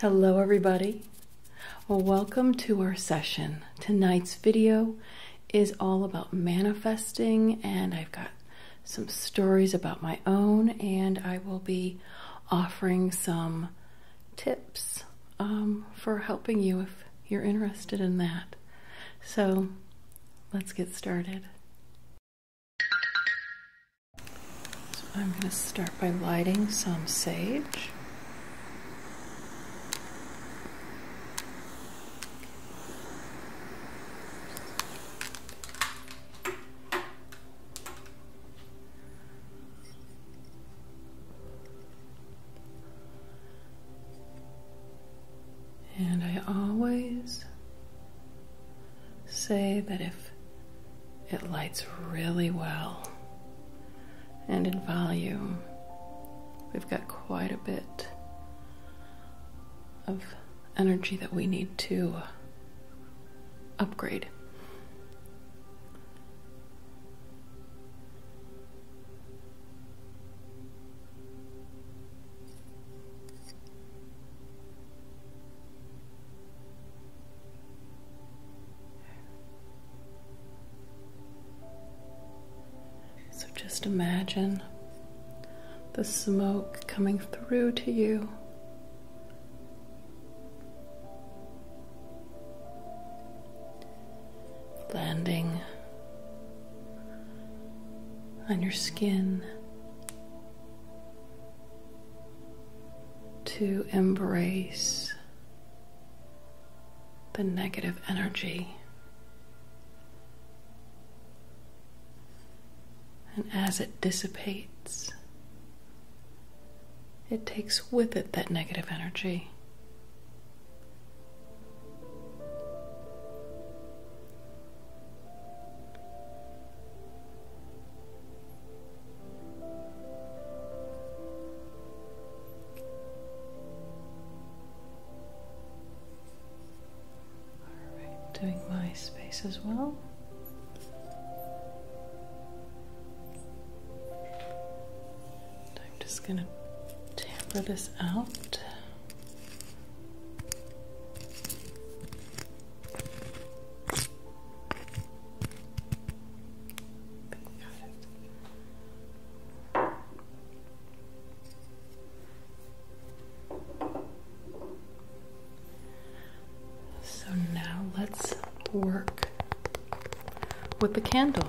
Hello everybody. Welcome to our session. Tonight's video is all about manifesting and I've got some stories about my own and I will be offering some tips um, for helping you if you're interested in that. So let's get started. So I'm going to start by lighting some sage. And I always say that if it lights really well. And in volume, we've got quite a bit of energy that we need to upgrade. So just imagine the smoke coming through to you. Landing on your skin to embrace the negative energy. And as it dissipates, it takes with it that negative energy doing my space as well. I'm just going to tamper this out. So now let's work with the candle.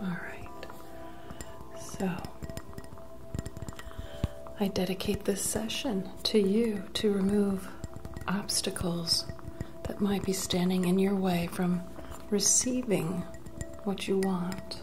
Alright, so I dedicate this session to you to remove obstacles that might be standing in your way from receiving what you want.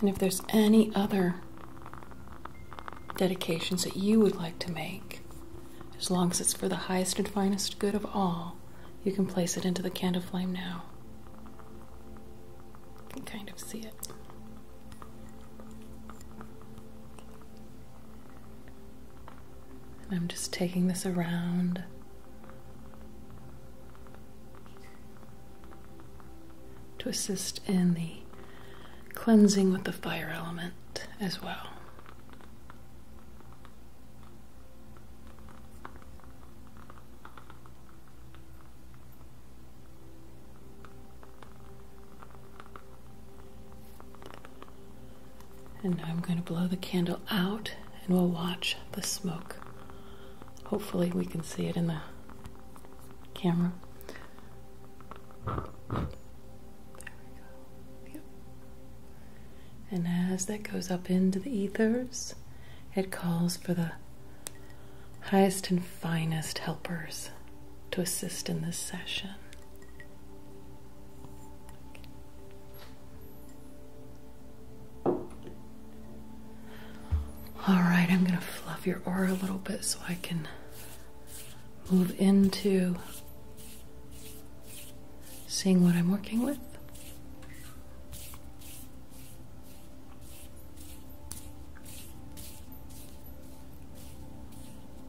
And if there's any other dedications that you would like to make, as long as it's for the highest and finest good of all, you can place it into the candle flame now. I can kind of see it. And I'm just taking this around. To assist in the cleansing with the fire element as well. And now I'm going to blow the candle out and we'll watch the smoke. Hopefully, we can see it in the camera. There we go. Yep. And as that goes up into the ethers, it calls for the highest and finest helpers to assist in this session. All right, I'm going to fluff your aura a little bit so I can move into seeing what I'm working with.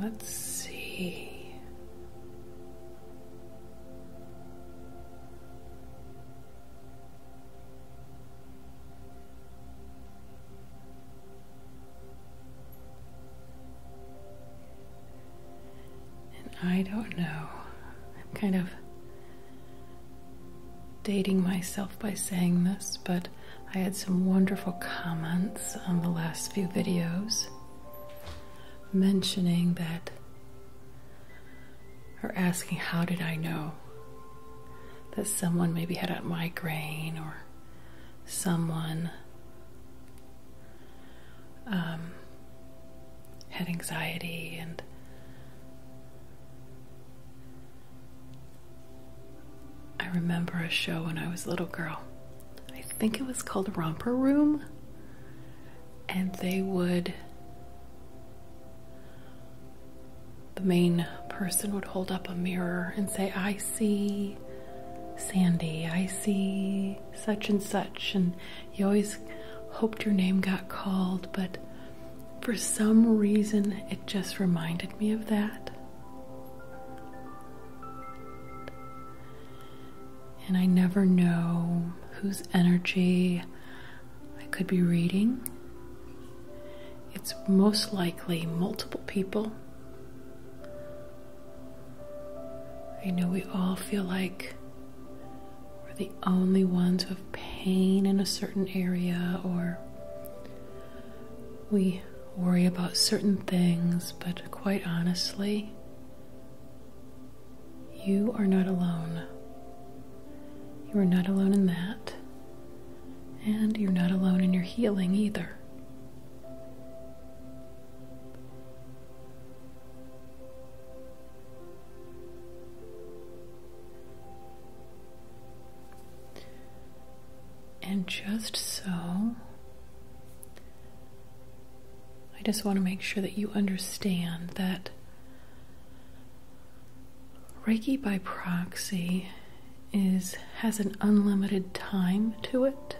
Let's see. And I don't know. I'm kind of dating myself by saying this, but I had some wonderful comments on the last few videos mentioning that or asking how did I know that someone maybe had a migraine or someone um, had anxiety and I remember a show when I was a little girl. I think it was called Romper Room. And they would. The main person would hold up a mirror and say, I see Sandy, I see such and such. And you always hoped your name got called, but for some reason it just reminded me of that. And I never know whose energy I could be reading. It's most likely multiple people. I know we all feel like we're the only ones with pain in a certain area or we worry about certain things, but quite honestly, you are not alone. You are not alone in that. And you're not alone in your healing either and just so. I just want to make sure that you understand that Reiki by proxy is has an unlimited time to it.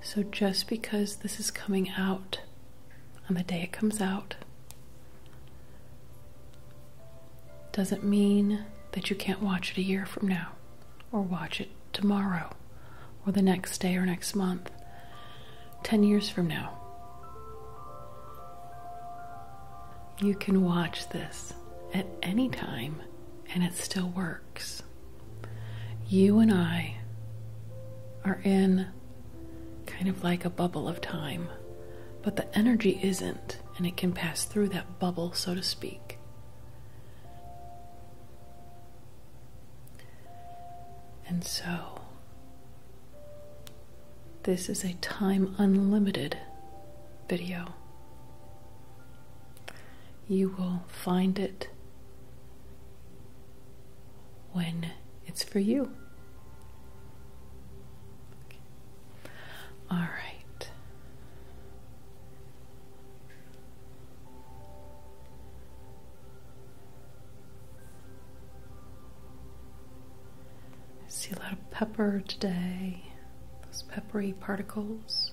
So just because this is coming out on the day it comes out, does it mean that you can't watch it a year from now, or watch it tomorrow, or the next day, or next month, 10 years from now. You can watch this at any time and it still works. You and I are in kind of like a bubble of time, but the energy isn't, and it can pass through that bubble, so to speak. And so, this is a time unlimited video. You will find it when it's for you. All right. see a lot of pepper today, those peppery particles.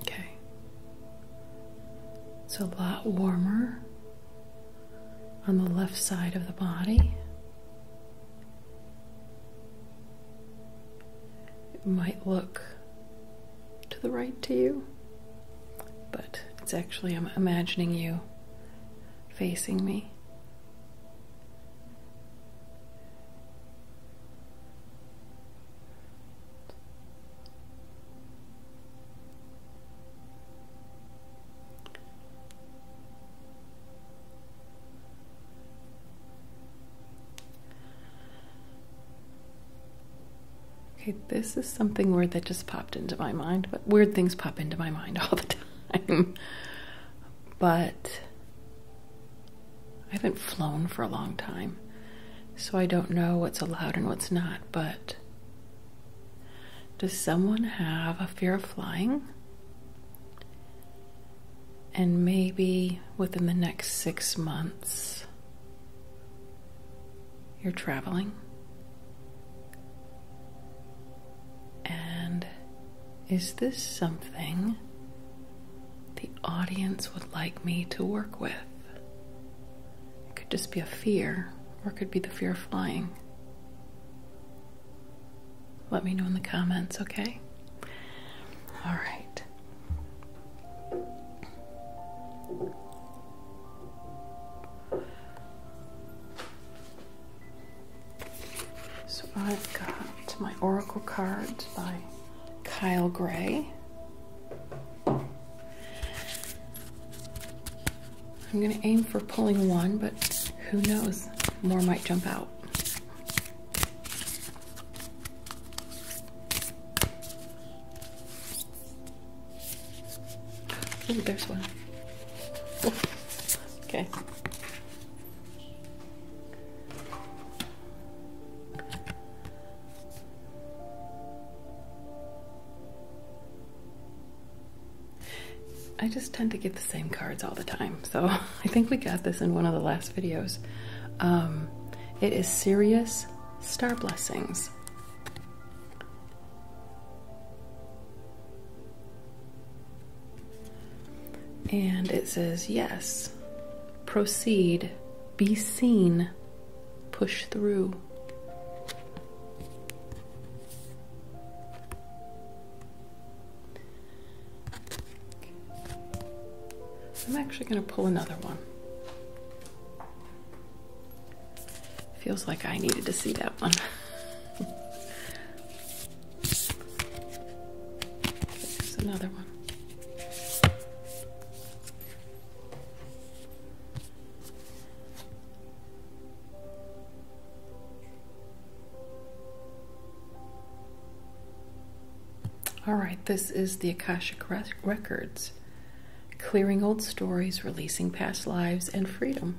Okay. It's a lot warmer on the left side of the body. It might look to the right to you but it's actually, I'm imagining you facing me. Okay, this is something weird that just popped into my mind, but weird things pop into my mind all the time. but I haven't flown for a long time, so I don't know what's allowed and what's not. But does someone have a fear of flying? And maybe within the next six months, you're traveling. And is this something the audience would like me to work with? It could just be a fear, or it could be the fear of flying. Let me know in the comments, okay? All right. So I've got my Oracle cards by Kyle Gray. I'm going to aim for pulling one, but who knows? More might jump out there's one. okay. I just tend to get the same cards all the time, so I think we got this in one of the last videos. Um, it is Sirius Star Blessings. And it says, yes, proceed, be seen, push through. I'm actually going to pull another one. Feels like I needed to see that one. another one. All right, this is the Akasha Records clearing old stories, releasing past lives, and freedom.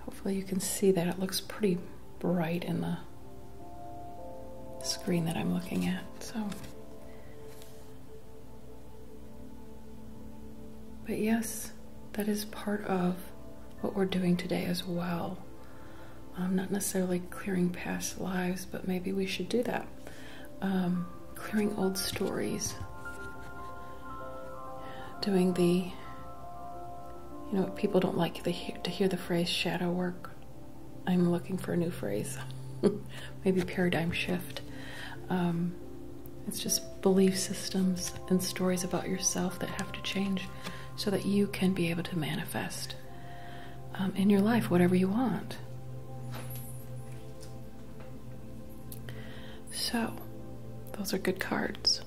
Hopefully, you can see that. It looks pretty bright in the screen that I'm looking at. So. But yes, that is part of what we're doing today as well. Um, not necessarily clearing past lives, but maybe we should do that. Um, clearing old stories, doing the, you know, people don't like to hear the phrase shadow work. I'm looking for a new phrase, maybe paradigm shift. Um, it's just belief systems and stories about yourself that have to change so that you can be able to manifest. Um, in your life, whatever you want. So, those are good cards.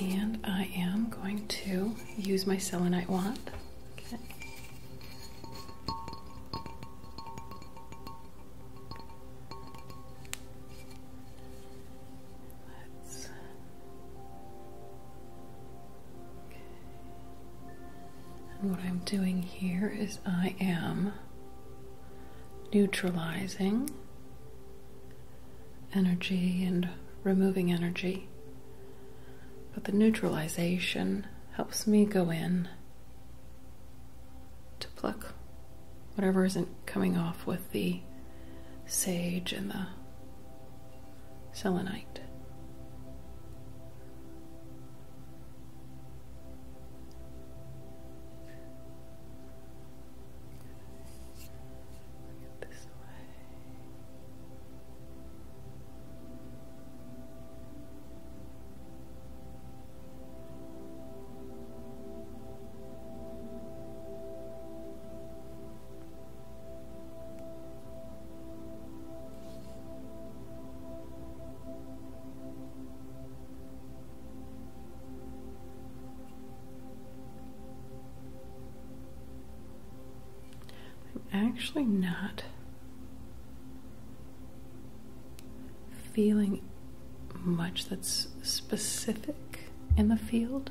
And I am going to use my selenite wand. Okay. And what I'm doing here is I am neutralizing energy and removing energy. But the neutralization helps me go in to pluck whatever isn't coming off with the sage and the selenite. I'm actually not feeling much that's specific in the field.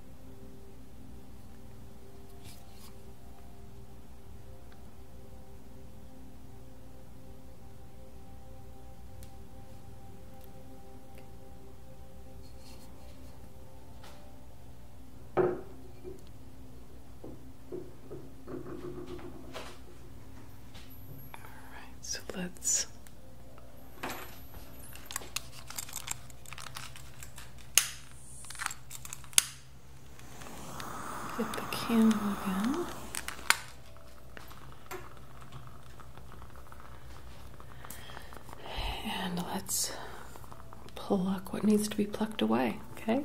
All right, so let's Get the candle again. And let's pluck what needs to be plucked away, okay?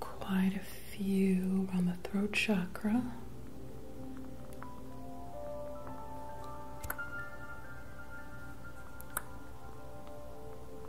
Quite a few around the throat chakra.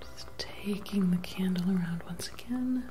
Just taking the candle around once again.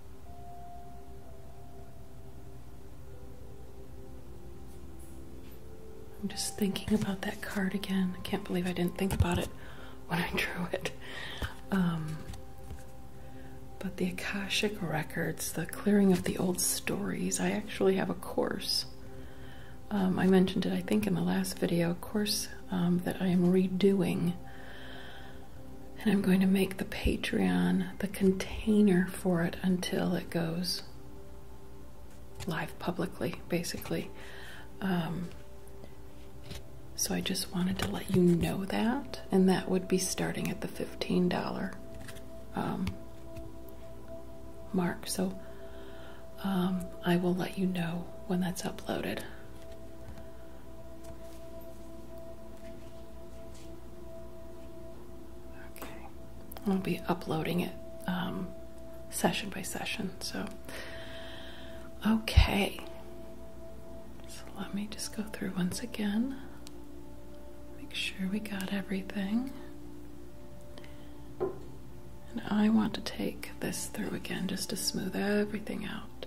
I'm just thinking about that card again. I can't believe I didn't think about it when I drew it. Um, but the Akashic Records, the clearing of the old stories, I actually have a course. Um, I mentioned it, I think, in the last video, course um, that I am redoing and I'm going to make the Patreon the container for it until it goes live publicly, basically. Um, so I just wanted to let you know that, and that would be starting at the $15 um, mark. So um, I will let you know when that's uploaded. I'll be uploading it um, session by session. So, okay, so let me just go through once again. Make sure we got everything. And I want to take this through again just to smooth everything out.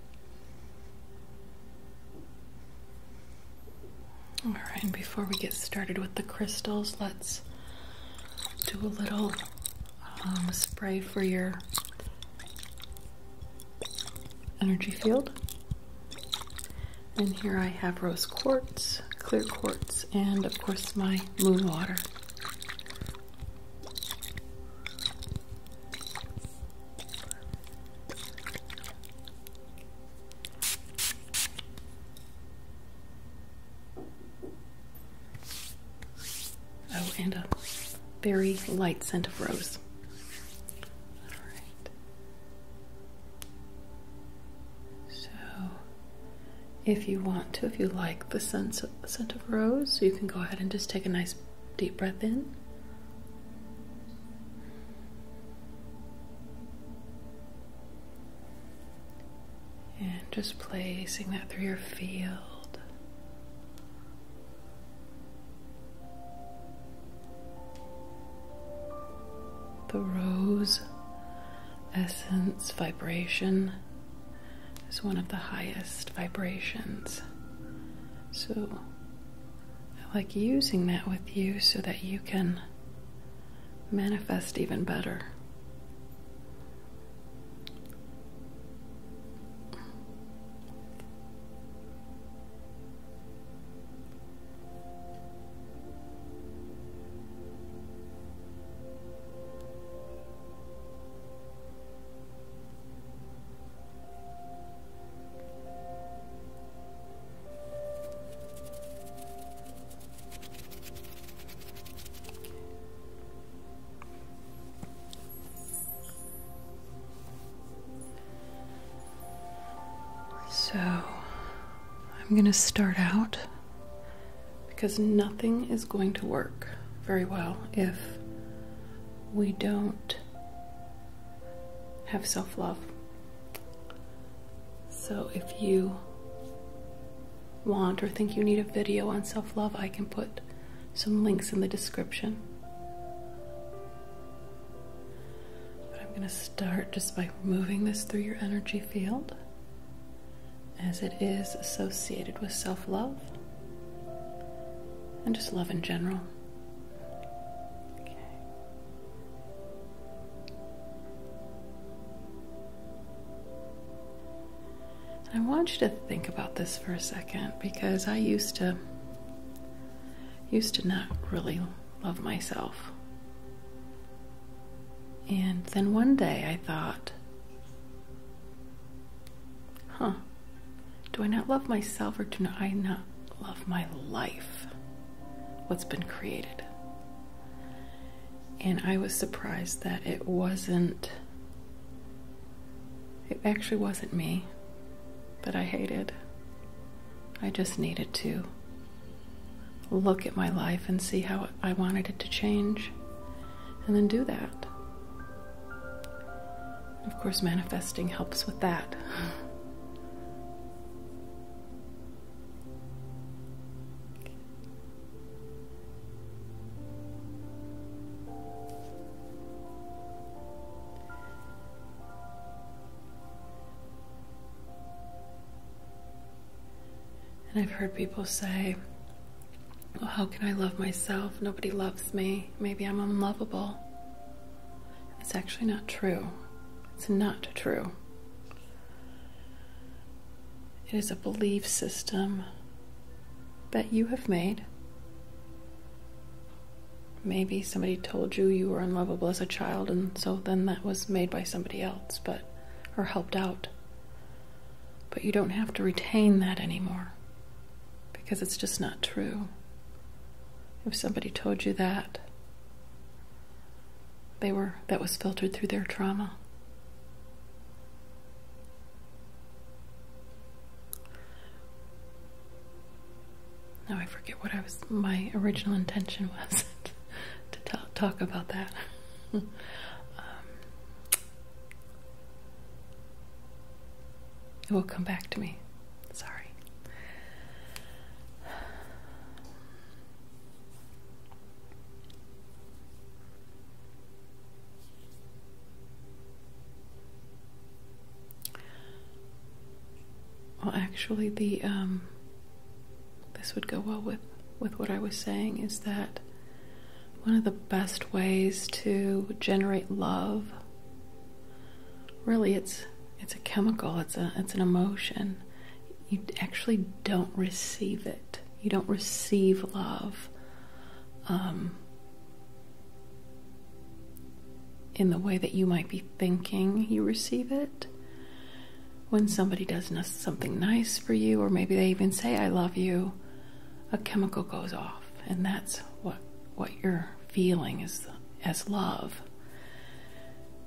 All right, and before we get started with the crystals, let's do a little um, spray for your energy field. And here I have rose quartz, clear quartz, and of course my moon water. Oh, and a very light scent of rose. So, if you want to, if you like the scent of rose, you can go ahead and just take a nice Deep breath in. And just placing that through your field. The rose essence vibration is one of the highest vibrations. So I like using that with you so that you can manifest even better. So I'm going to start out because nothing is going to work very well if we don't have self love. So if you want or think you need a video on self love, I can put some links in the description. But I'm going to start just by moving this through your energy field as it is associated with self love and just love in general. And I want you to think about this for a second because I used to used to not really love myself. And then one day I thought, huh, do I not love myself or do I not love my life? What's been created? And I was surprised that it wasn't, it actually wasn't me that I hated. I just needed to look at my life and see how I wanted it to change and then do that. Of course, manifesting helps with that. And I've heard people say, how can I love myself? Nobody loves me. Maybe I'm unlovable. It's actually not true. It's not true. It is a belief system that you have made. Maybe somebody told you you were unlovable as a child, and so then that was made by somebody else, but or helped out. But you don't have to retain that anymore because it's just not true. If somebody told you that, they were that was filtered through their trauma. Now I forget what I was my original intention was to talk, about that. Um, it will come back to me. Sorry. Well, actually, the um, this would go well with with what I was saying is that one of the best ways to generate love really it's it's a chemical it's a it's an emotion you actually don't receive it you don't receive love um, in the way that you might be thinking you receive it when somebody does something nice for you or maybe they even say i love you a chemical goes off and that's what what you're feeling as, as love.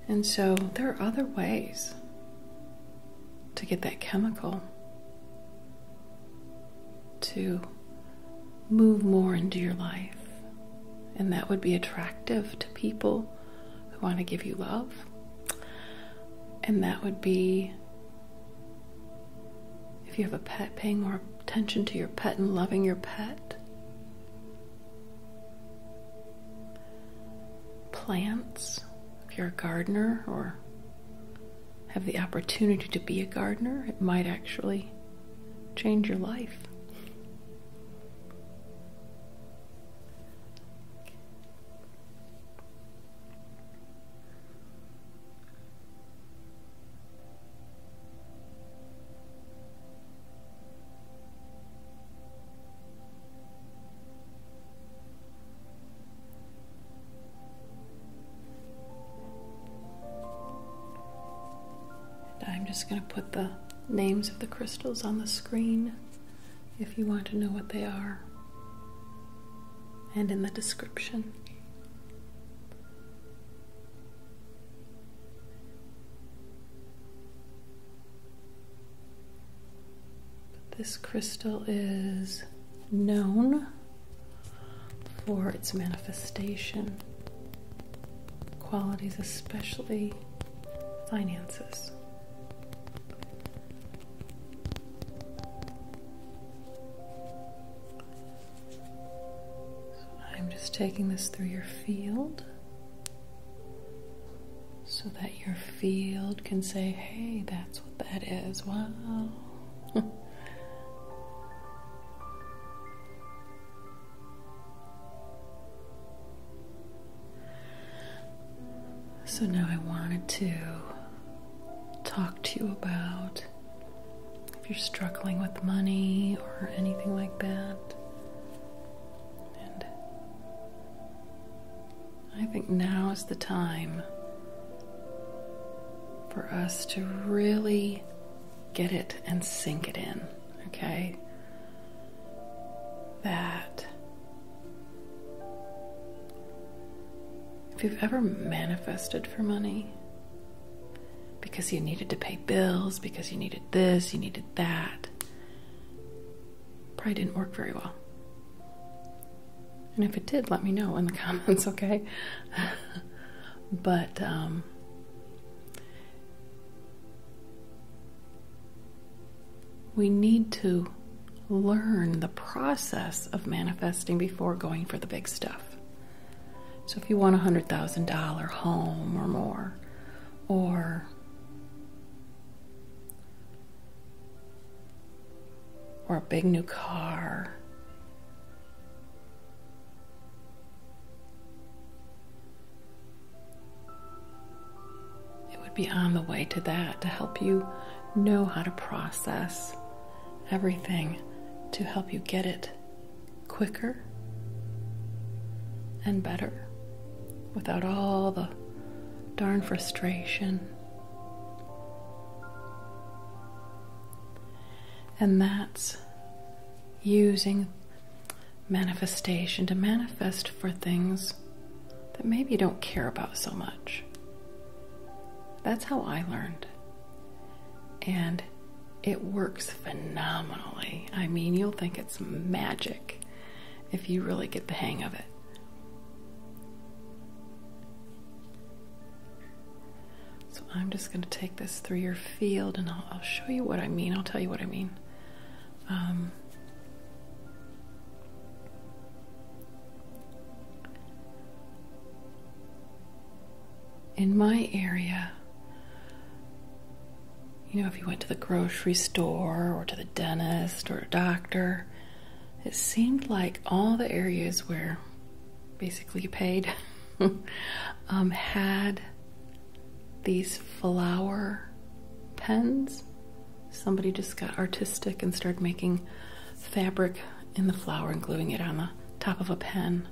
And so there are other ways to get that chemical to move more into your life. And that would be attractive to people who want to give you love. And that would be if you have a pet, paying more attention to your pet and loving your pet. Plants, if you're a gardener or have the opportunity to be a gardener, it might actually change your life. I'm just going to put the names of the crystals on the screen if you want to know what they are, and in the description. This crystal is known for its manifestation qualities, especially finances. I'm just taking this through your field so that your field can say, hey, that's what that is. Wow. so now I wanted to talk to you about if you're struggling with money or anything like that. And I think now is the time for us to really get it and sink it in, okay? That if you've ever manifested for money, because you needed to pay bills, because you needed this, you needed that. Probably didn't work very well. And if it did, let me know in the comments, okay? but, um, we need to learn the process of manifesting before going for the big stuff. So if you want a $100,000 home or more, or or a big new car it would be on the way to that to help you know how to process everything to help you get it quicker and better without all the darn frustration. And that's using manifestation to manifest for things that maybe you don't care about so much. That's how I learned. And it works phenomenally. I mean, you'll think it's magic if you really get the hang of it. So I'm just going to take this through your field and I'll, show you what I mean. I'll tell you what I mean. Um, in my area, you know, if you went to the grocery store or to the dentist or doctor, it seemed like all the areas where basically you paid um, had these flower pens. Somebody just got artistic and started making fabric in the flour and gluing it on the top of a pen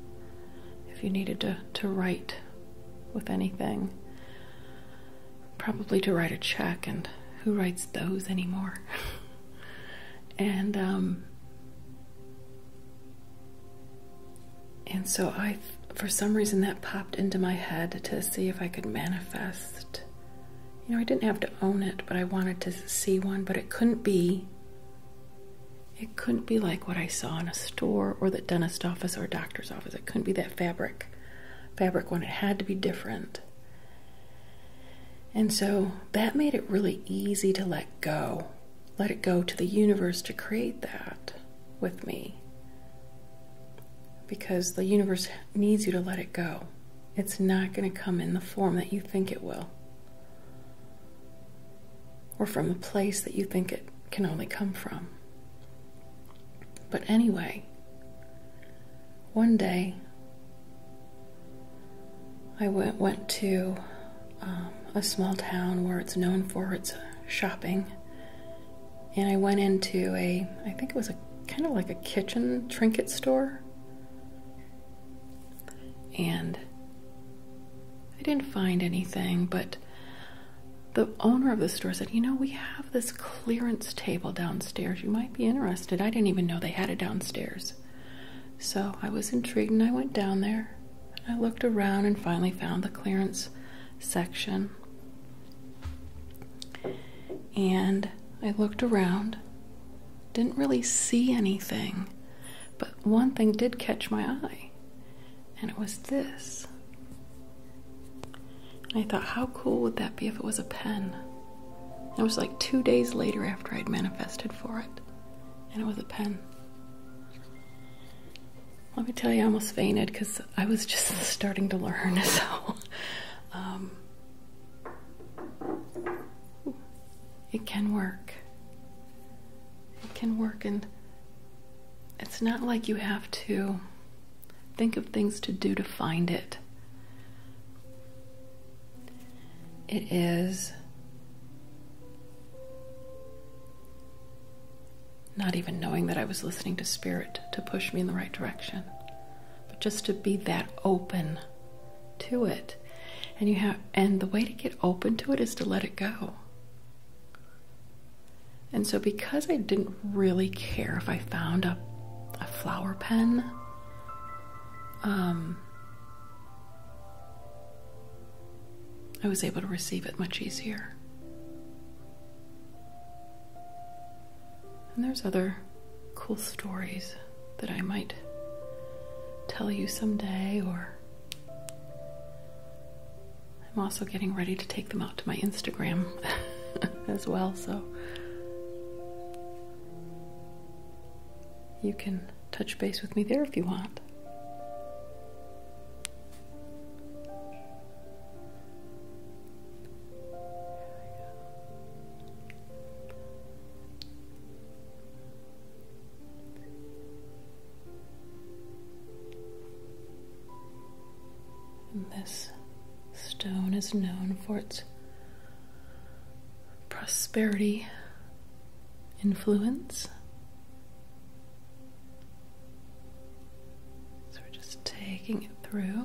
if you needed to, to write with anything. Probably to write a check, and who writes those anymore? and, um, and so I, for some reason, that popped into my head to see if I could manifest. You know, I didn't have to own it, but I wanted to see one, but it couldn't be it couldn't be like what I saw in a store or the dentist office or doctor's office. It couldn't be that fabric, fabric one. It had to be different. And so that made it really easy to let go, let it go to the universe to create that with me. Because the universe needs you to let it go. It's not going to come in the form that you think it will or from a place that you think it can only come from. But anyway, one day I went, went to um, a small town where it's known for its uh, shopping, and I went into a, I think it was a kind of like a kitchen trinket store and I didn't find anything, but the owner of the store said, You know, we have this clearance table downstairs. You might be interested. I didn't even know they had it downstairs. So I was intrigued and I went down there. I looked around and finally found the clearance section. And I looked around, didn't really see anything. But one thing did catch my eye, and it was this. I thought, how cool would that be if it was a pen? And it was like two days later after I'd manifested for it, and it was a pen. Let me tell you, I almost fainted because I was just starting to learn. So um, it can work it can work and it's not like you have to think of things to do to find it. It is not even knowing that I was listening to spirit to push me in the right direction, but just to be that open to it. And you have and the way to get open to it is to let it go. And so because I didn't really care if I found a flower pen um I was able to receive it much easier. And there's other cool stories that I might tell you someday, or I'm also getting ready to take them out to my Instagram as well, so you can touch base with me there if you want this stone is known for its prosperity influence. So we're just taking it through.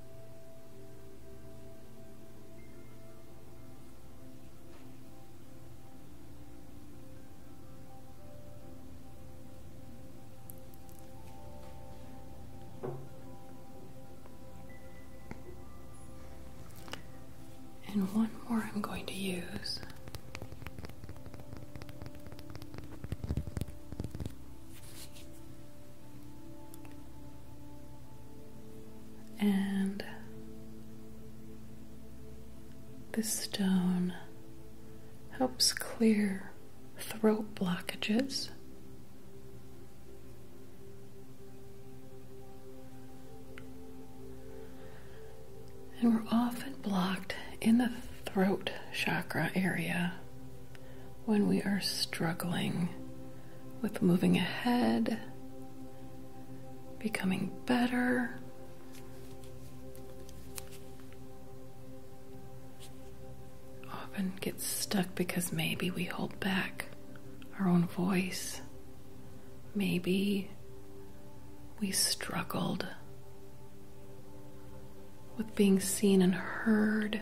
And one more I'm going to use and the stone helps clear throat blockages. And we're often blocked in the throat chakra area when we are struggling with moving ahead, becoming better. Often get stuck because maybe we hold back our own voice. Maybe we struggled with being seen and heard.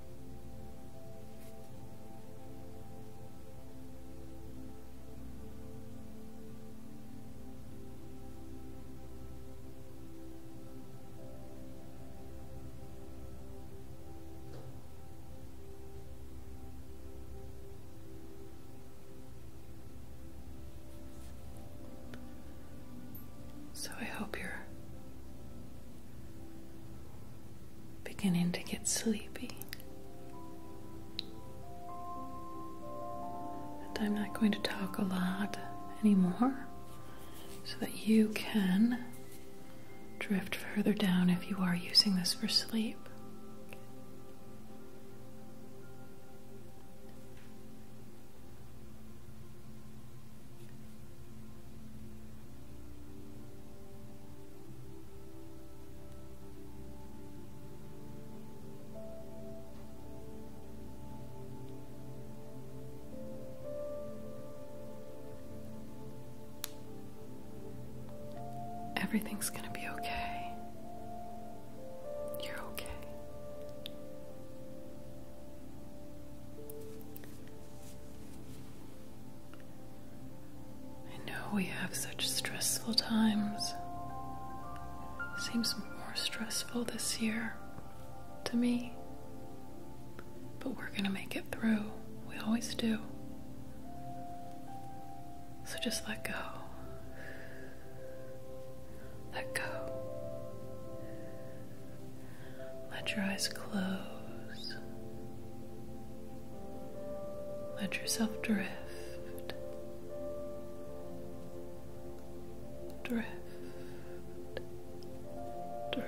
So I hope you're beginning to get sleepy. And I'm not going to talk a lot anymore so that you can drift further down if you are using this for sleep. Everything's gonna be okay. You're okay. I know we have such stressful times. Seems more stressful this year to me. But we're gonna make it through. We always do. So just let go. Let go. Let your eyes close. Let yourself drift. Drift. Drift.